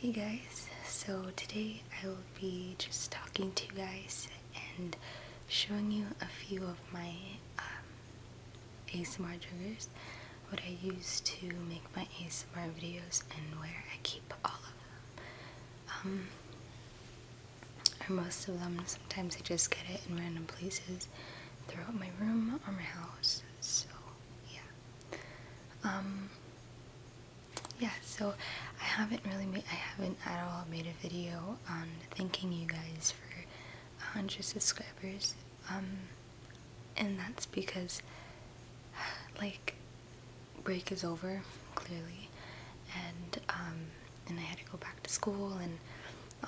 Hey guys, so today I will be just talking to you guys and showing you a few of my um, ASMR triggers, what I use to make my ASMR videos and where I keep all of them. Um, or most of them, sometimes I just get it in random places throughout my room or my house, so yeah. Um, yeah, so I haven't really made, I haven't at all made a video on thanking you guys for 100 subscribers. Um, and that's because, like, break is over, clearly, and, um, and I had to go back to school and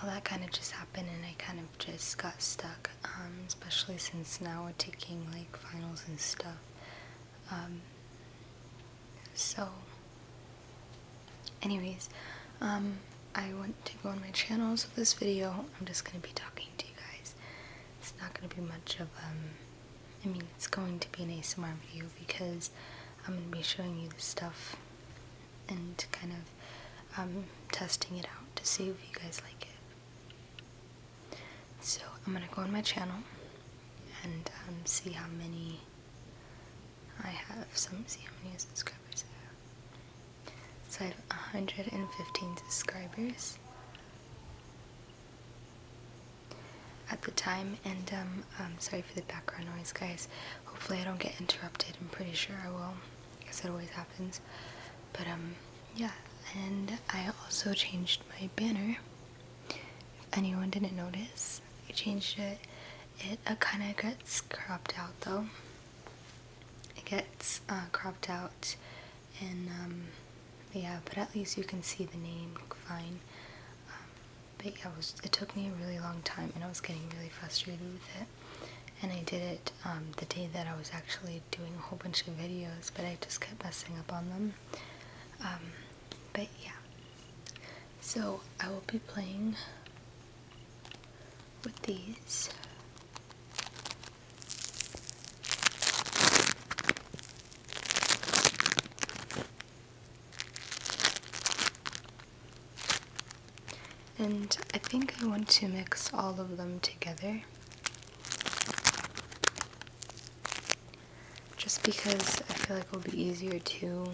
all that kind of just happened and I kind of just got stuck um, especially since now we're taking like finals and stuff. Um, so, anyways, um, I want to go on my channel, so this video I'm just going to be talking to you guys. It's not going to be much of, I mean, it's going to be an ASMR video because I'm going to be showing you the stuff and kind of testing it out to see if you guys like it. So I'm gonna go on my channel and um, see how many I have. Some see how many subscribers I have. So I have 115 subscribers at the time, and um, um, sorry for the background noise, guys. Hopefully I don't get interrupted. I'm pretty sure I will because it always happens. But um, yeah, and I also changed my banner. If anyone didn't notice, I changed it. It uh, kind of gets cropped out though. It gets uh, cropped out, and um, yeah, but at least you can see the name fine. Um, but yeah, it, was, it took me a really long time, and I was getting really frustrated with it and I did it um, the day that I was actually doing a whole bunch of videos, but I just kept messing up on them. Um, but yeah, so I will be playing with these. And I think I want to mix all of them together. Just because I feel like it'll be easier to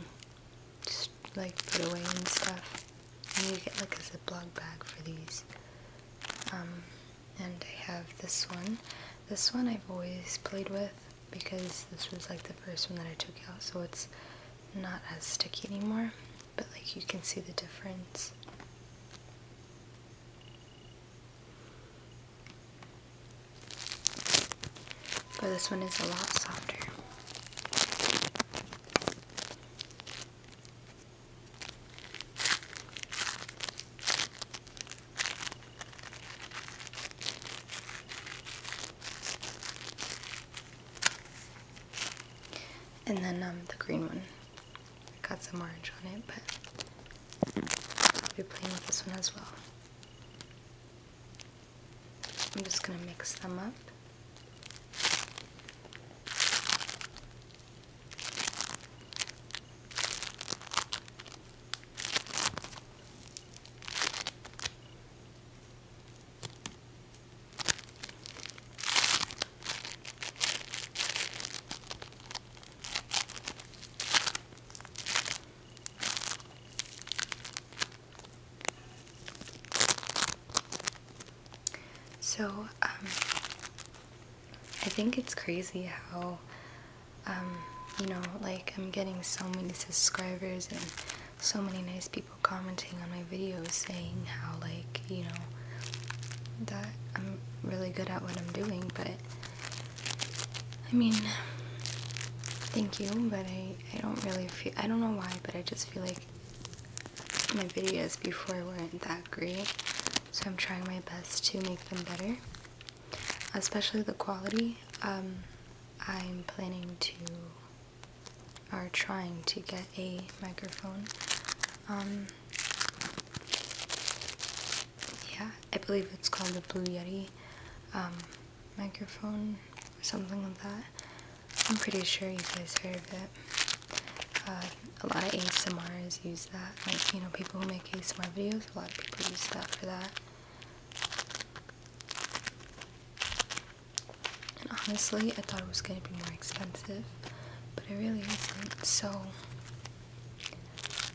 like put away and stuff. I need get like a Ziploc bag for these. Um, and I have this one. This one I've always played with because this was like the first one that I took out so it's not as sticky anymore but like you can see the difference but this one is a lot softer. And then um, the green one. Got some orange on it, but I'll be playing with this one as well. I'm just gonna mix them up. So, um, I think it's crazy how, um, you know, like I'm getting so many subscribers and so many nice people commenting on my videos saying how, like, you know, that I'm really good at what I'm doing, but I mean, thank you, but I, I don't really feel, I don't know why, but I just feel like my videos before weren't that great, so I'm trying my best to make them better, especially the quality. Um, I'm planning to, are trying to get a microphone. Um, yeah, I believe it's called the Blue Yeti um, microphone or something like that. I'm pretty sure you guys heard of it. Uh, a lot of ASMRs use that. Like, you know, people who make ASMR videos, a lot of people use that for that. And honestly, I thought it was going to be more expensive but it really isn't, so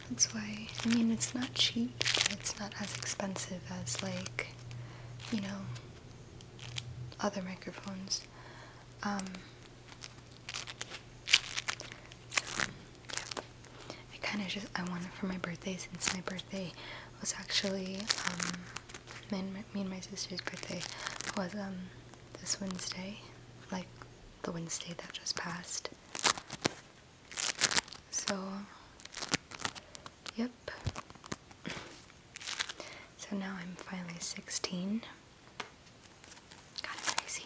that's why, I mean, it's not cheap, it's not as expensive as, like, you know, other microphones. Um, I kind of just, I wanted for my birthday, since my birthday was actually, um, me and my, me and my sister's birthday was, um, this Wednesday, like the Wednesday that just passed. So, yep. So now I'm finally 16. Kind of crazy.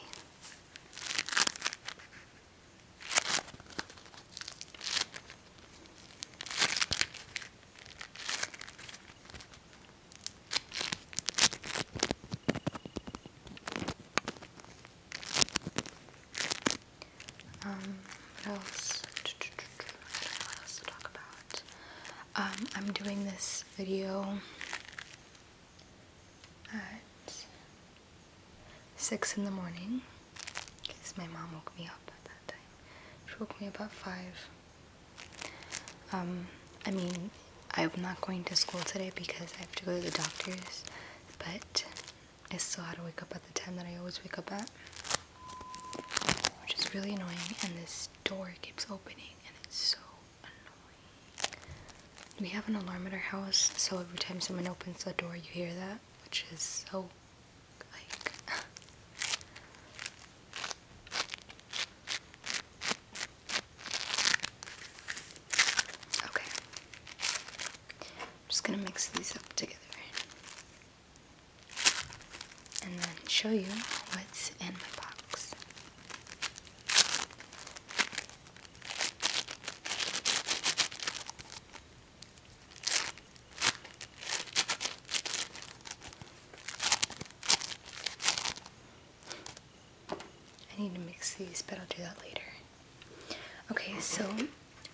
Um, what else? I what else to talk about. Um, I'm doing this video at 6 in the morning because my mom woke me up at that time. She woke me up at 5 um, I mean, I'm not going to school today because I have to go to the doctor's, but I still had to wake up at the time that I always wake up at, which is really annoying. And this door keeps opening, and it's so annoying. We have an alarm at our house, so every time someone opens the door, you hear that, which is so like. Okay. I'm just going to mix these up together and then show you what's in my box. I need to mix these, but I'll do that later. Okay, so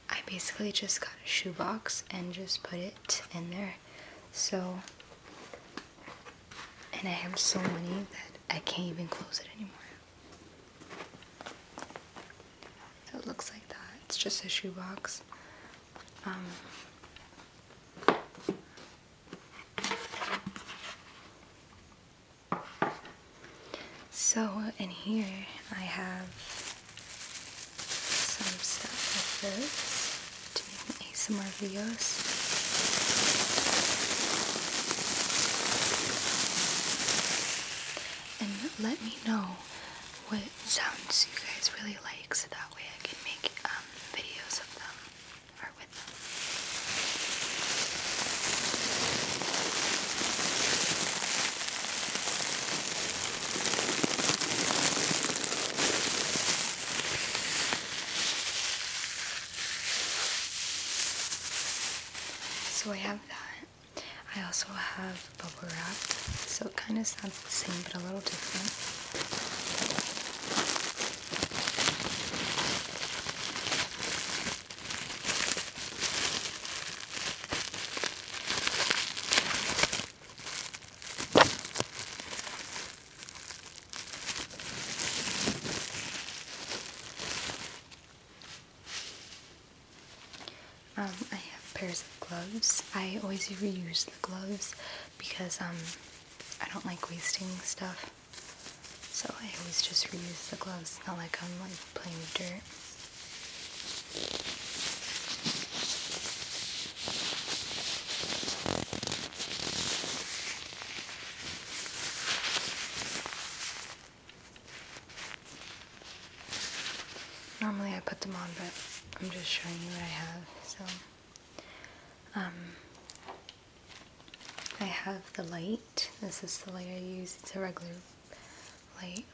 I basically just got a shoebox and just put it in there. So, and I have so many that I can't even close it anymore. So it looks like that. It's just a shoebox. Um, so in here I have some stuff like this to make my ASMR videos. And let me know what sounds you guys really like so that way I can make um, videos of them. So I have that. I also have bubble wrap, so it kind of same but a little different. Um, I have pairs of gloves. I always reuse the gloves because um, I don't like wasting stuff. So I always just reuse the gloves, not like I'm like playing with dirt. Normally I put them on, but I'm just showing you what I have, so. Um, I have the light. This is the light I use. It's a regular light.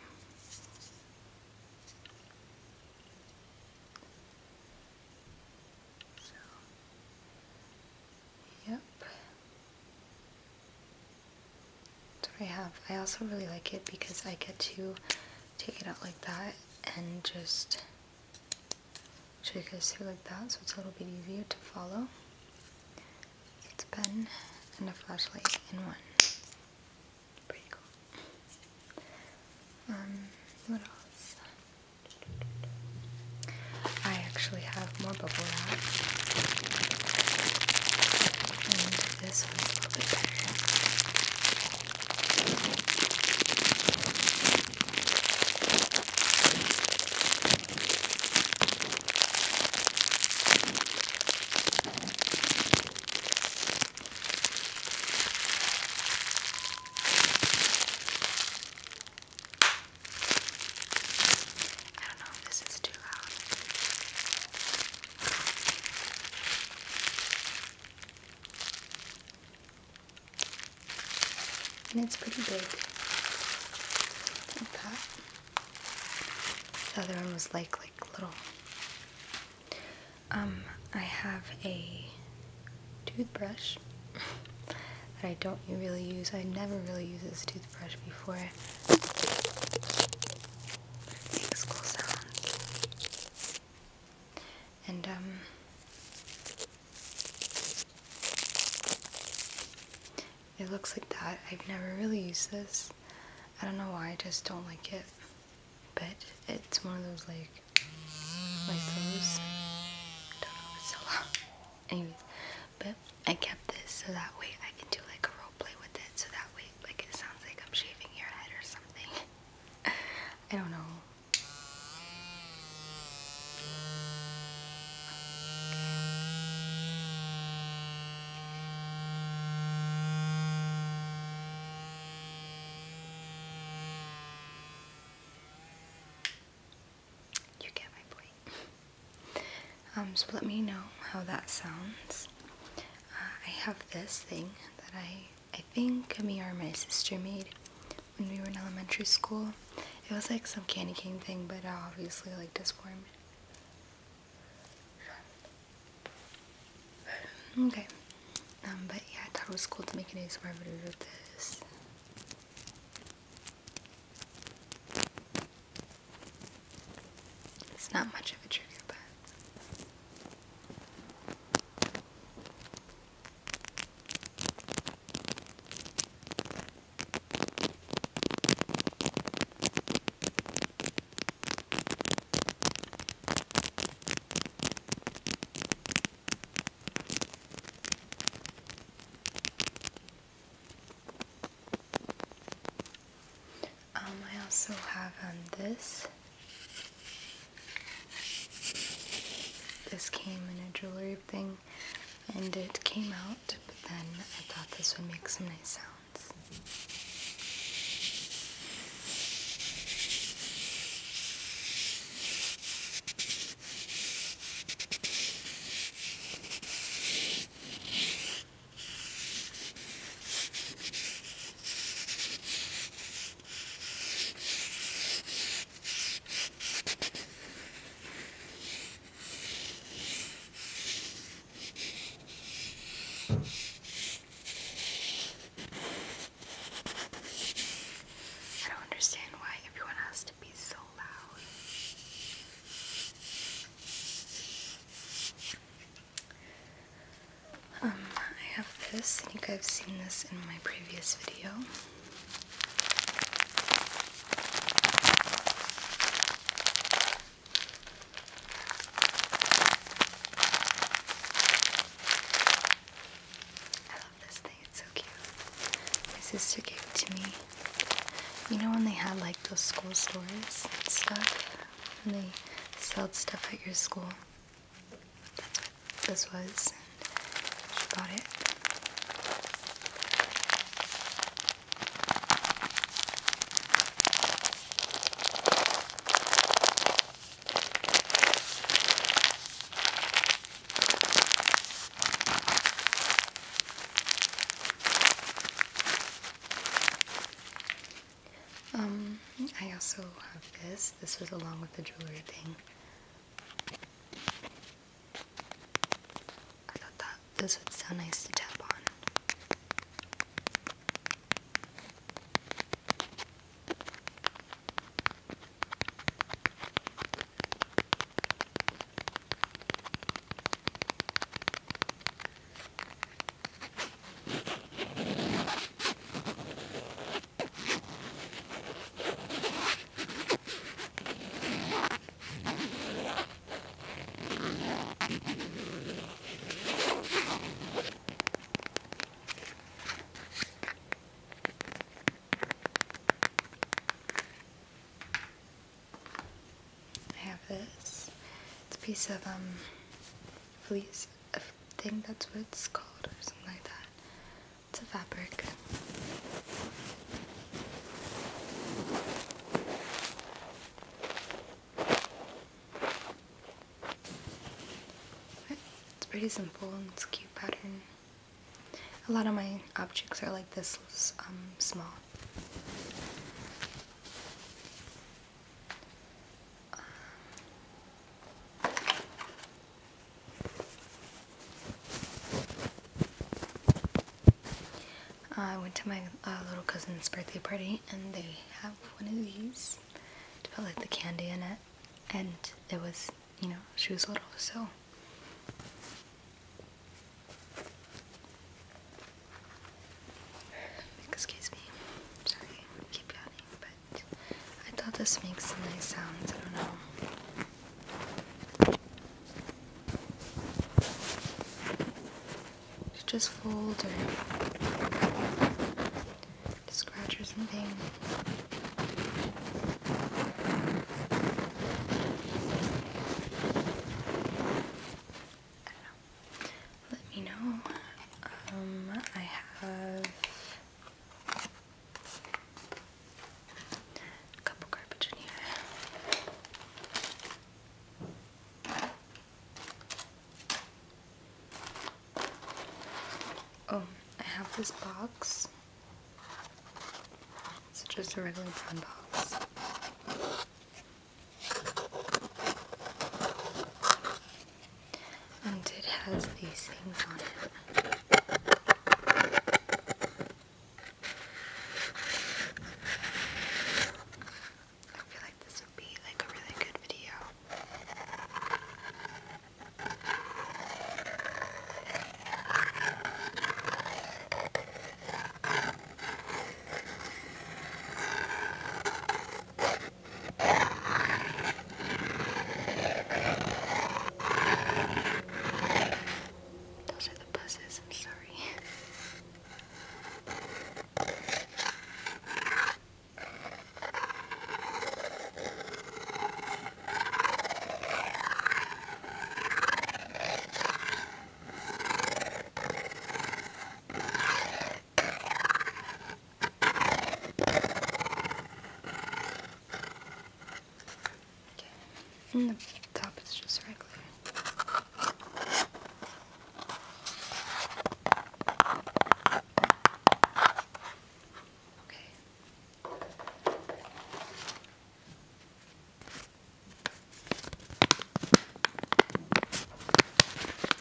yep. That's what I have. I also really like it because I get to take it out like that and just should it goes through like that so it's a little bit easier to follow. It's pen and a flashlight in one. Pretty cool. Um, what else? I actually have more bubble wrap. And this one's a little bit better. I don't know if this is too loud and it's pretty big. Like that. The other one was like like little. Um, I have a toothbrush that I don't really use. I never really used this toothbrush before. It makes cool sounds and um, it looks like that. I've never really used this. I don't know why, I just don't like it. But it's one of those like, like those. I don't know, what's so long. Anyways, but I kept this so that way I can do like a role play with it. So that way, like it sounds like I'm shaving your head or something. I don't know. You get my point. um, so let me know how that sounds. Uh, I have this thing that I I think me or my sister made when we were in elementary school. It was like some candy cane thing, but obviously like disformed. Okay. Um, but yeah, I thought it was cool to make an ASMR video with this. It's not much of a trigger, but... Um, I also have on um, this this came in a jewelry thing and it came out, but then I thought this would make some nice sounds. I don't understand why everyone has to be so loud. Um, I have this. I think I've seen this in my previous video. I love this thing, it's so cute. My sister gave it to me. You know when they had like those school stores and stuff? And they sold stuff at your school? this was, she bought it. Um, I also have this this. was along with the jewelry thing. I thought that this would sound nice to tap on. I have this. It's a piece of um fleece I think that's what it's called or something like that. It's a fabric. It's pretty simple and it's a cute pattern. A lot of my objects are like this um, small. Uh, I went to my uh, little cousin's birthday party and they have one of these to put like the candy in it and it was, you know, she was little so Excuse me. Sorry, keep yawning, but I thought this makes a nice sounds. I don't know. Should just fold or scratch or something. I don't know. Let me know. Um, I have a couple garbage in here. Oh, I have this box. It's just a regular brown box and it has these things on it. I feel like this would be like a really good video. Those are the buzzes, I'm sorry. And the top is just regular. Okay.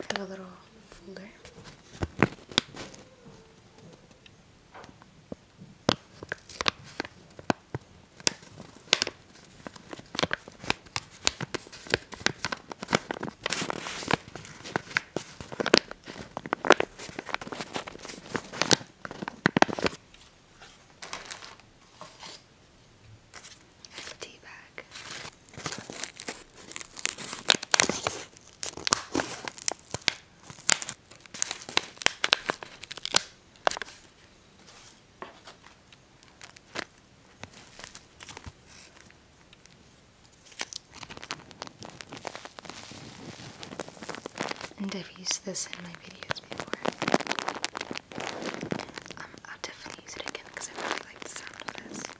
Got a Tea bag. And I've used this in my videos before. Um, I'll definitely use it again because I really like the sound of this.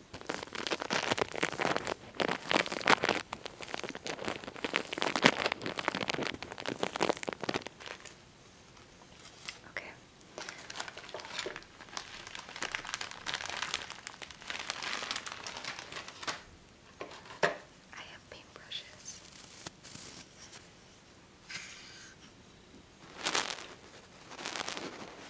Okay. I have paintbrushes.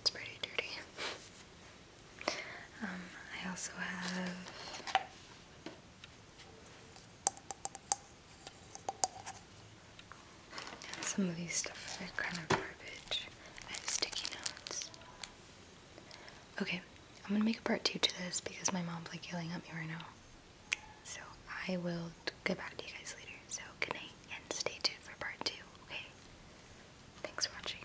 It's pretty dirty. Um, I also have some of these stuff are kind of garbage. sticky notes. Okay, I'm gonna make a part two to this because my mom's like yelling at me right now. So I will get back to you guys later. So good night and stay tuned for part two, okay? Thanks for watching.